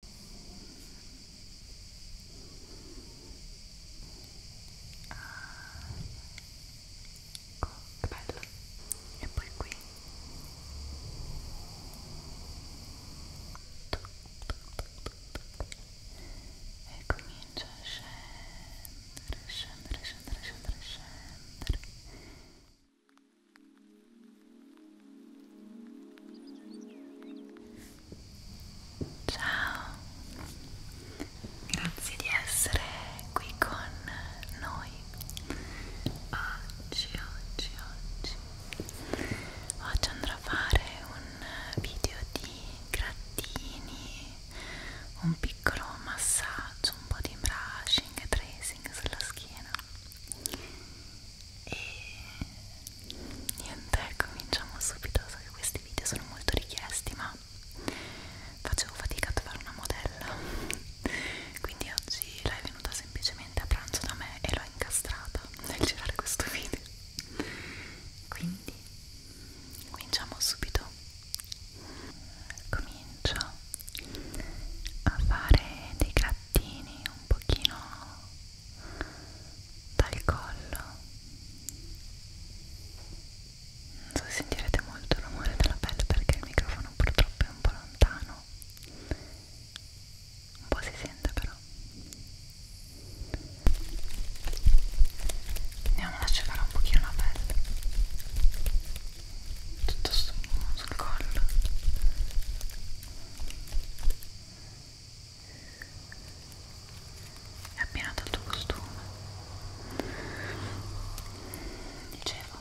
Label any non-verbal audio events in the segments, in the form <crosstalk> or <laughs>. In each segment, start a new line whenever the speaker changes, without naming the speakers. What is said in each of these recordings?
ecco ah, che bello e poi qui e comincia a scendere scendere scendere scendere scendere Ciao, grazie di essere qui con noi. Oggi, oggi, oggi, oggi andrò a fare un video di grattini, un piccolo massaggio, un po' di brushing e tracing sulla schiena e niente cominciamo subito so che questi video sono molto richiesti ma facevo fatica a trovare una modella quindi oggi lei è venuta semplicemente a pranzo da me e l'ho incastrata nel girare questo video quindi cominciamo subito comincio a fare dei grattini un pochino dal collo non so se sentirete molto il rumore della pelle perché il microfono purtroppo è un po' lontano un po' si sente però andiamo ad asciugare un pochino la pelle tutto sul collo è abbinato al tuo costume dicevo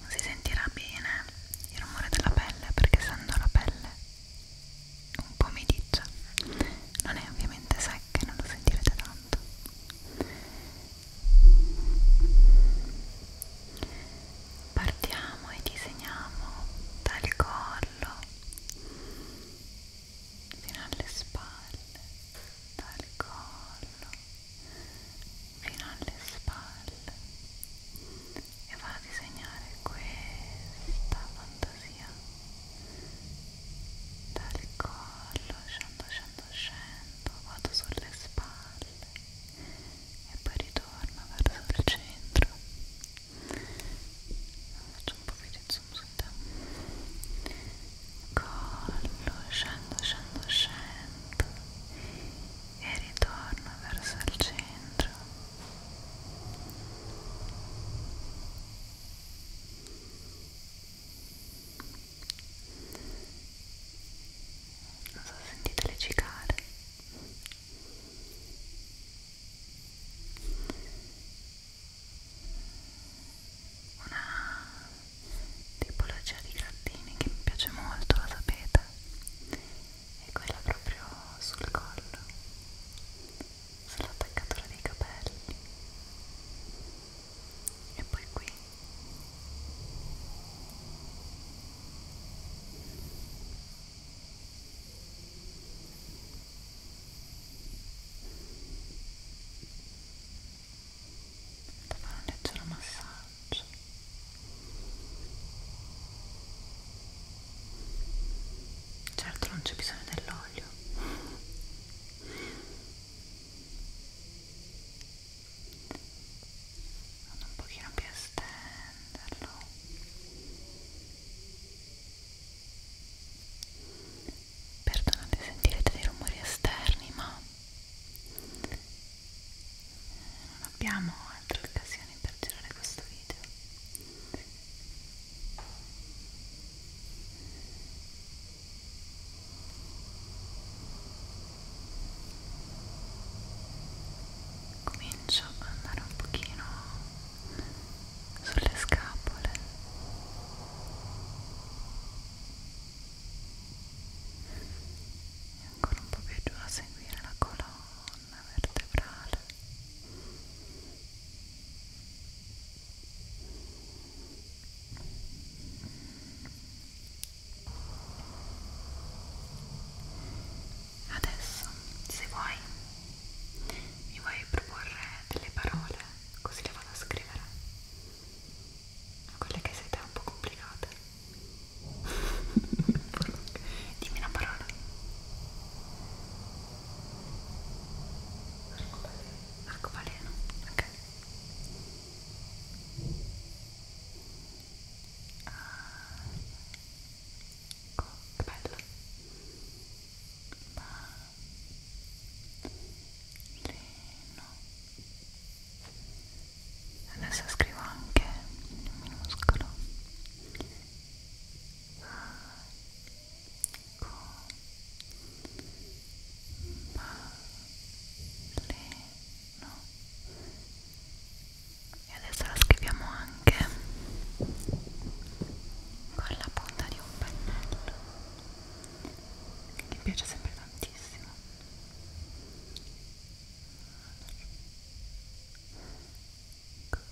non si sentirà bene il rumore della pelle perché essendo la pelle un po' mediccia non è ovviamente secca e non lo sentirete tanto partiamo e disegniamo dal collo fino alle spalle dal collo fino alle spalle e va a disegnare questa fantasia dal collo scendo scendo scendo vado sulle spalle e poi ritorna verso il centro faccio un po' più di zoom su te collo, scendo, scendo, scendo e ritorno verso il centro non so, sentite le cicale una tipologia di grattini che mi piace molto, lo sapete, è quella proprio sul collo, sull'attaccatura dei capelli e poi qui da fare un leggero massaggio certo non c'è bisogno dell'olio vado un pochino più a stenderlo perdonate sentirete dei rumori esterni ma eh, non abbiamo altre occasioni per girare questo video Ora comincio ad andare un pochino sulle scapole e ancora un po' più giù a seguire la colonna vertebrale Adesso, se vuoi, mi vuoi proporre delle parole così le vado a scrivere. Quelle che siete un po' complicate. <laughs> Dimmi una parola. Arcobaleno. Arcobaleno, ok ecco, che bello Marlino adesso scrivo anche in minuscolo ecco ah, Marlino no? e adesso la scriviamo anche con la punta di un pennello che mi piace sempre tantissimo Ecco.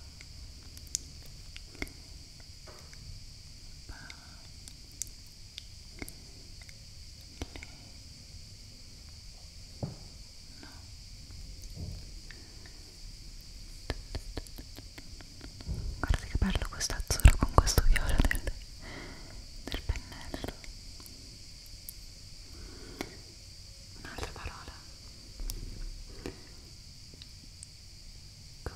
Guarda che bello questo azzurro con questo viola del, del pennello. Un'altra parola. Co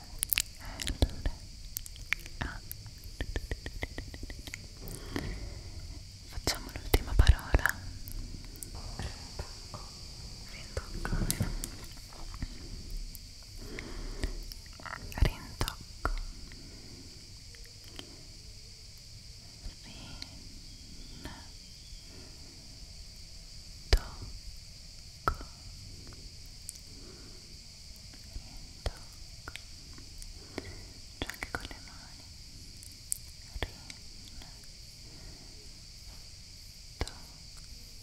allora ah. facciamo l'ultima parola rintocco rintocco Rin tocco tocco già anche con le mani rin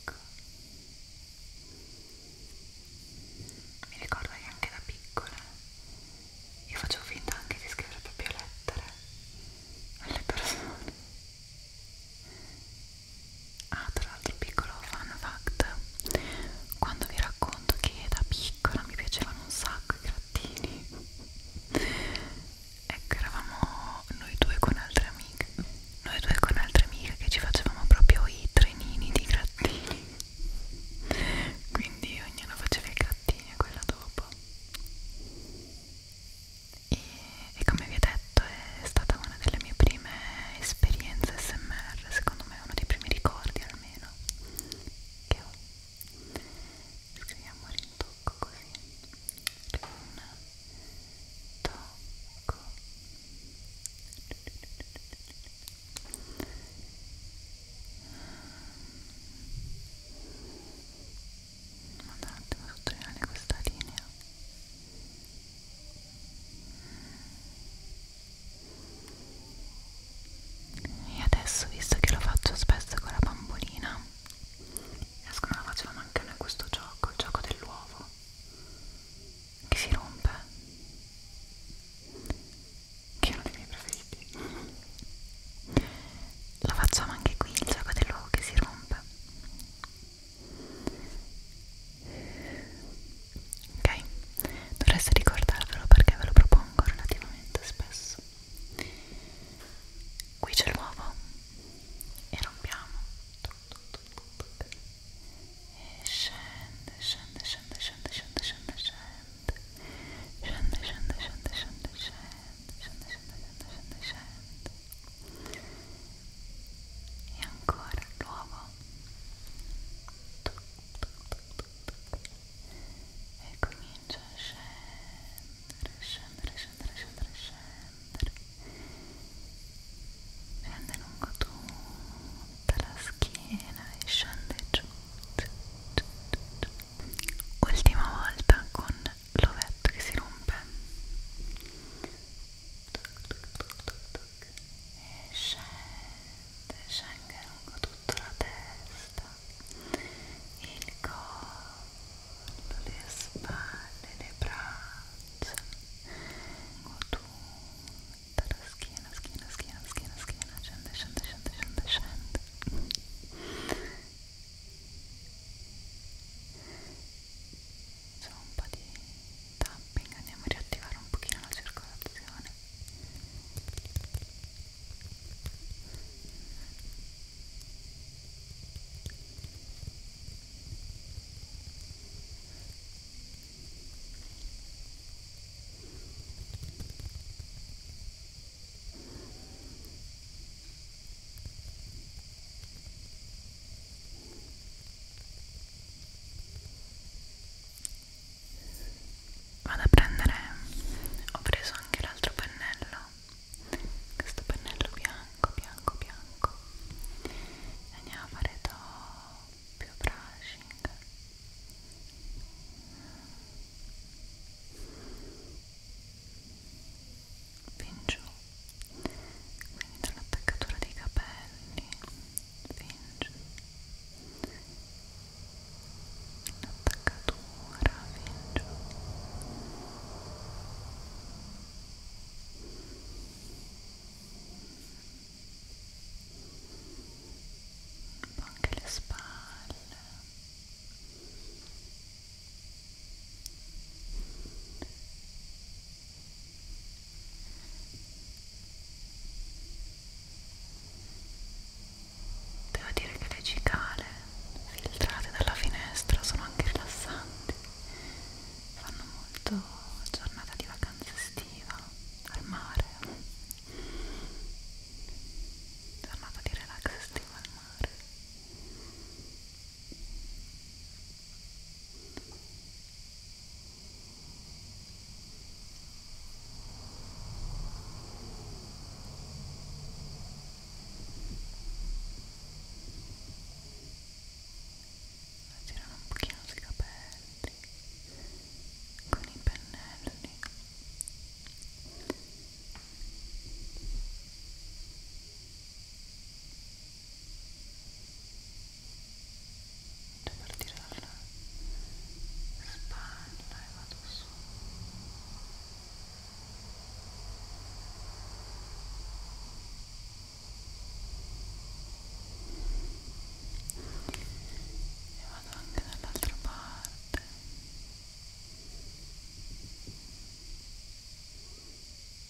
tocco mi ricordo che anche da piccola io facevo finta anche di scrivere proprio lettere alle persone Ah, tra l'altro piccolo fun fact, quando vi racconto che da piccola mi piacevano un sacco i grattini, ecco eravamo noi due con altre amiche, noi due con altre amiche che ci facevamo proprio i trenini di grattini, quindi ognuno faceva i grattini e quella dopo. E, e come vi ho detto è stata una delle mie prime prime esperienze smr secondo me è uno dei primi ricordi almeno che ho scriviamo rintocco così rintocco vado un attimo a sottolineare questa linea e adesso visto che lo faccio spesso con la bambolina riesco la facevamo anche noi questo gioco il gioco dell'uovo che si rompe che è uno dei miei preferiti lo facciamo anche qui il gioco dell'uovo che si rompe ok dovreste ricordarvelo perché ve lo propongo relativamente spesso qui c'è l'uovo e rompiamo e scende scende scende scende scende scende scende scende scende scende scende scende scende scende scende scende scende e ancora l'uovo e comincia a scendere, scendere, scendere, scendere, scendere scende lungo tutta la schiena e scende giù, giù, giù, giù. ultima volta con l'ovetto che si rompe e scenga lungo tutta la testa, il collo, le spalle, le braccia, lungo tutta la schiena, schiena, schiena, schiena, schiena, scende, scende, scende, scende, scende. solo un po' di tapping andiamo a riattivare un pochino la circolazione ok vado a prendere ho preso anche l'altro pennello questo pennello bianco bianco bianco e andiamo a fare doppio brushing fin giù quindi dall'attaccatura dei capelli finge l'attaccatura finge un po' anche le spalle Devo dire che le cicale filtrate dalla finestra sono anche rilassanti, fanno molto giornata di vacanza estiva al mare, giornata di relax estiva al mare girano un pochino sui capelli con i pennelli Ora Devo partire dalla spalla e vado su e vado anche dall'altra parte e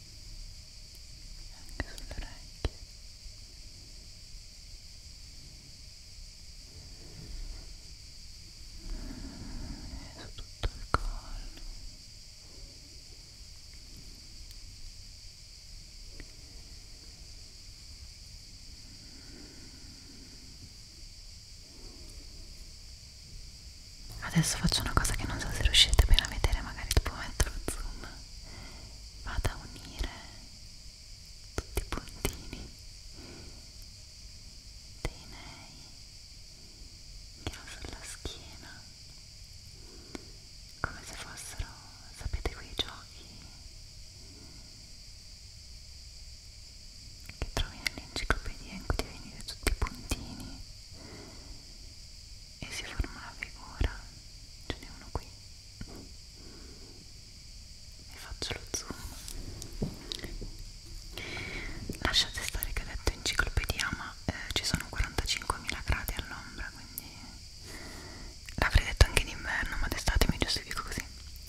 anche sulle orecchie e su tutto il collo Adesso faccio una cosa che non so se riuscite bene a vedere, magari dopo metto lo zoom vado a unire tutti i puntini dei nei che ho sulla schiena come se fossero sapete quei giochi che trovi nell'enciclopedia in cui devi unire tutti i puntini e si forma una figura ce n'è uno qui e faccio lo zoom lasciate stare che ho detto enciclopedia ma eh, ci sono 45.000 gradi all'ombra quindi l'avrei detto anche d'inverno ma d'estate mi giustifico così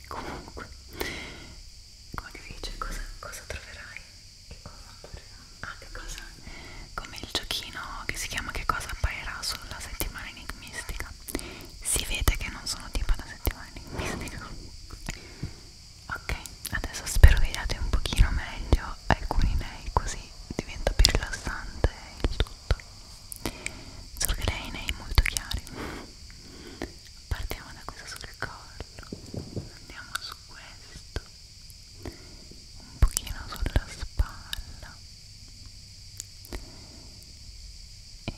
comunque come dice cosa, cosa troverai che cosa troverai Ah, che cosa? Come il giochino che si chiama Che cosa apparirà sulla settimana enigmistica. Si vede che non sono tipo da settimana enigmistica. Ok, adesso spero vediate un pochino meglio alcuni nei così diventa più rilassante il tutto. Solo che lei nei molto chiari. Partiamo da questo sul collo. Andiamo su questo un pochino sulla spalla e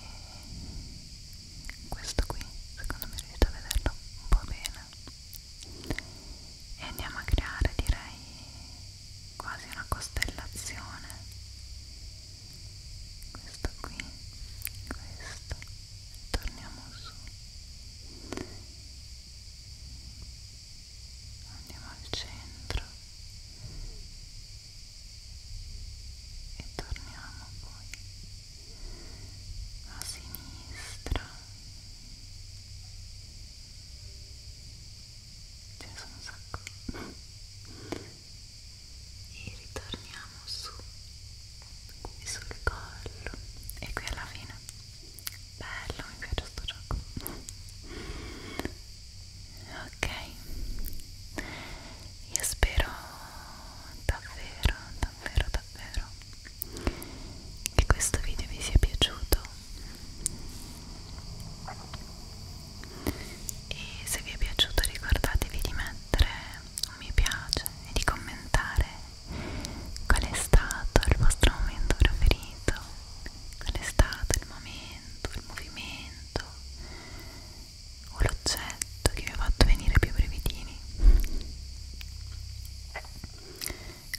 questo qui secondo me riuscite a vederlo un po' bene e andiamo a creare direi quasi una costellazione questo qui questo torniamo su andiamo al centro e torniamo poi a sinistra ce ne sono un sacco e ritorniamo su qui sul collo e qui alla fine bello, mi piace sto gioco ok io spero davvero davvero davvero che questo video vi sia piaciuto e se vi è piaciuto ricordatevi di mettere un mi piace e di commentare qual è stato il vostro momento preferito, qual è stato il momento, il movimento o l'oggetto che vi ha fatto venire più brevidini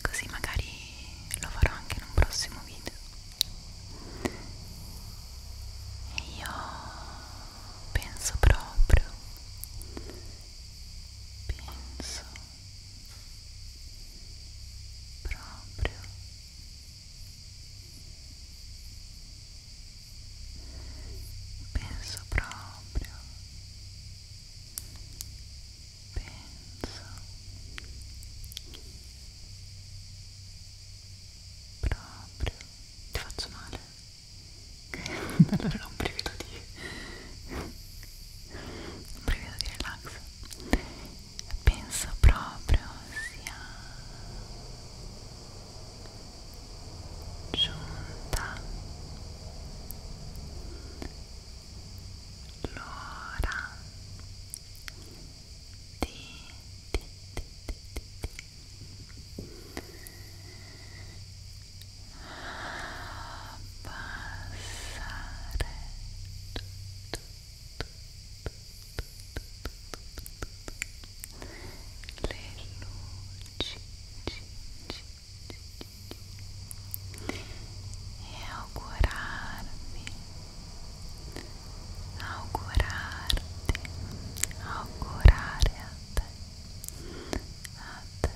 così magari lo farò anche in un prossimo video e io penso proprio penso proprio penso proprio penso proprio ti faccio male <laughs> allora era un brivido di un brivido di relax penso proprio sia giunta l'ora di, di, di, di, di e augurar-me, augurar-te, augurar-te até, até, até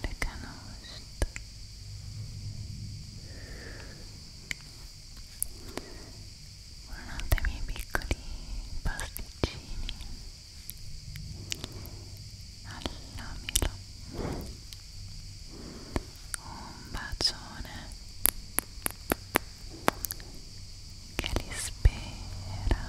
le canoste buonanotte ai miei piccoli pasticcini alla mela un bacione che li spera